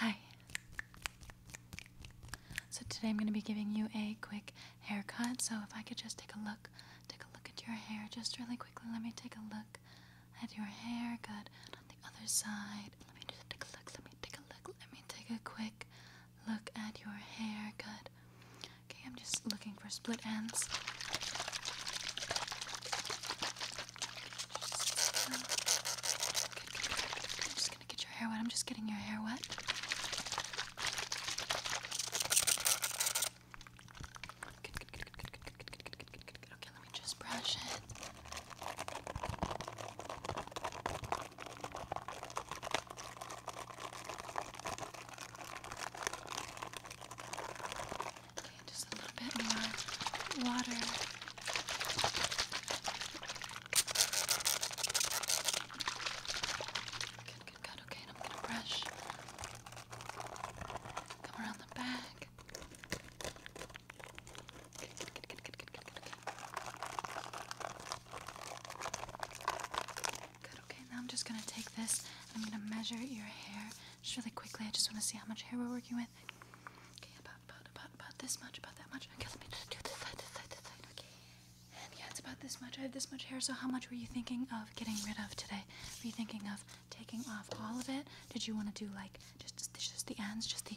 Hi. So today I'm going to be giving you a quick haircut. So if I could just take a look, take a look at your hair just really quickly. Let me take a look at your hair. Good. on the other side. Let me just take a look. Let me take a look. Let me take a quick look at your hair. Good. Okay, I'm just looking for split ends. I'm just gonna get your hair wet. I'm just getting your hair wet. Okay, let me just brush it. Okay, just a little bit more water. Good, good, good. Okay, and I'm gonna brush. Come around the back. Good, good, good, good, good, good, good, good. Okay. Good, okay, now I'm just gonna take this and I'm gonna measure your hair just really quickly. I just wanna see how much hair we're working with. Okay, about, about, about, about this much, about that much. Okay, let me just do this side, this side, this side, okay. And yeah, it's about this much. I have this much hair, so how much were you thinking of getting rid of today? Were you thinking of taking off all of it? Did you wanna do like just, just the ends, just the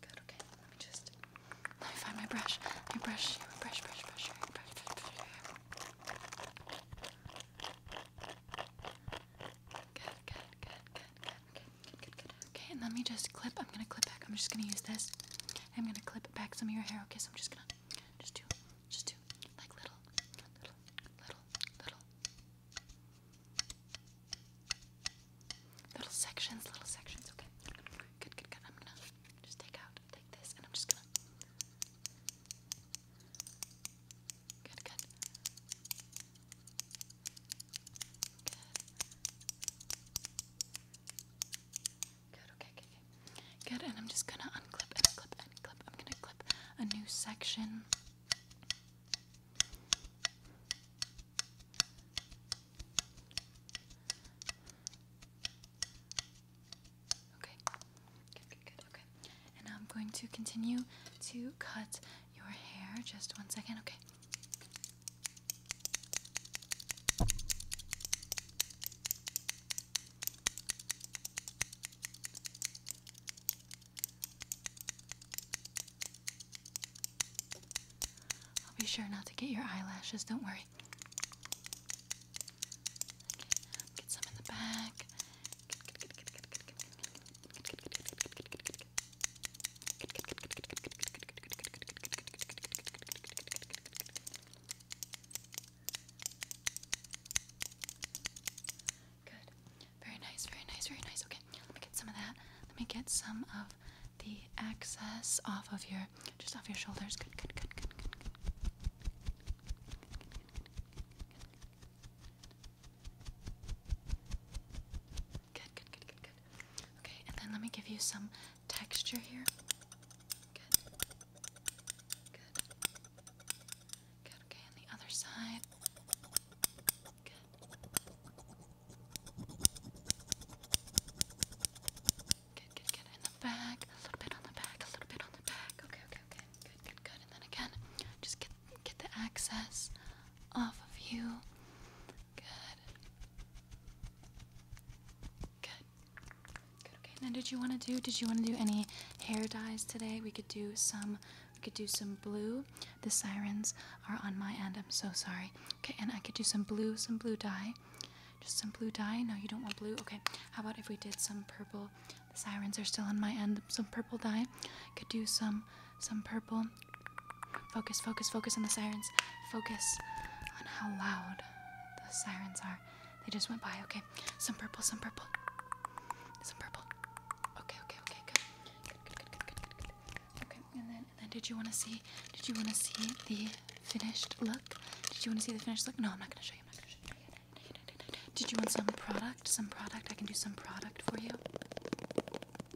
Good, okay. Let me just let me find my brush. Let me brush, brush, brush, brush, brush, brush, brush, Good, good, good, good, good, good, good, Okay, and let me just clip. I'm gonna clip back. I'm just gonna use this. I'm gonna clip back some of your hair. Okay, so I'm just gonna just do just do like little, little, little, little, little sections, little sections. Okay, good, good, good. I'm gonna just take out, take this, and I'm just gonna. Good, good. Good. Good, okay, okay, Good, and I'm just gonna unclip and clip I'm gonna clip a new section. Okay, good, good, good, okay. And I'm going to continue to cut your hair. Just one second, okay. I'll be sure not to get your eyelashes, don't worry. Okay, get some in the back. Good. Very nice, very nice, very nice. Okay, let me get some of that. Let me get some of the excess off of your just off your shoulders. Good, good, good, good, good. good. Good, good, good, good, good. Okay, and then let me give you some texture here. Good. Good. Good, okay, on the other side. Good. Good, good, In the back, a little bit on the back, a little bit on the back. Okay, okay, okay. Good, good, good. And then again, just get get the access off of you. Good. Good. Good. Okay. And did you want to do? Did you want to do any hair dyes today? We could do some. We could do some blue. The sirens are on my end. I'm so sorry. Okay. And I could do some blue. Some blue dye. Just some blue dye. No, you don't want blue. Okay. How about if we did some purple? The sirens are still on my end. Some purple dye. Could do some some purple. Focus, focus, focus on the sirens. Focus on how loud the sirens are. They just went by. Okay, some purple, some purple, some purple. Okay, okay, okay, good, good, good, good, good, good, good. Okay, and then, and then, did you want to see? Did you want to see the finished look? Did you want to see the finished look? No, I'm not gonna show you. I'm not gonna show you. Did you want some product? Some product? I can do some product for you.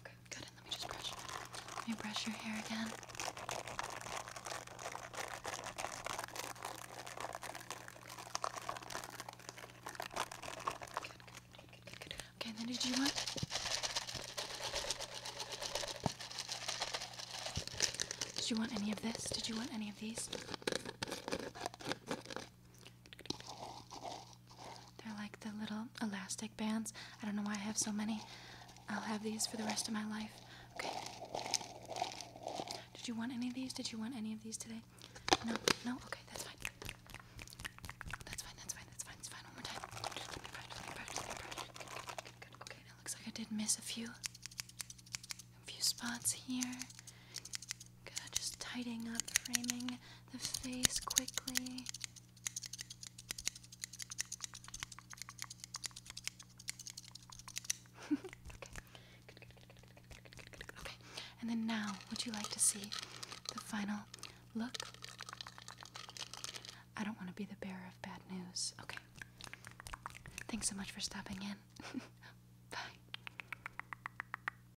Okay, good. let me just brush. Let me brush your hair again. Good, good, good, good, good. Okay, then did you want? Did you want any of this? Did you want any of these? They're like the little elastic bands. I don't know why I have so many. I'll have these for the rest of my life. Okay. Did you want any of these? Did you want any of these today? No, no, okay, that's fine. That's fine, that's fine, that's fine, it's fine. One more time. Okay, it looks like I did miss a few a few spots here just tidying up, framing the face quickly. Okay, and then now, would you like to see the final look? I don't want to be the bearer of bad news. Okay. Thanks so much for stopping in. Bye.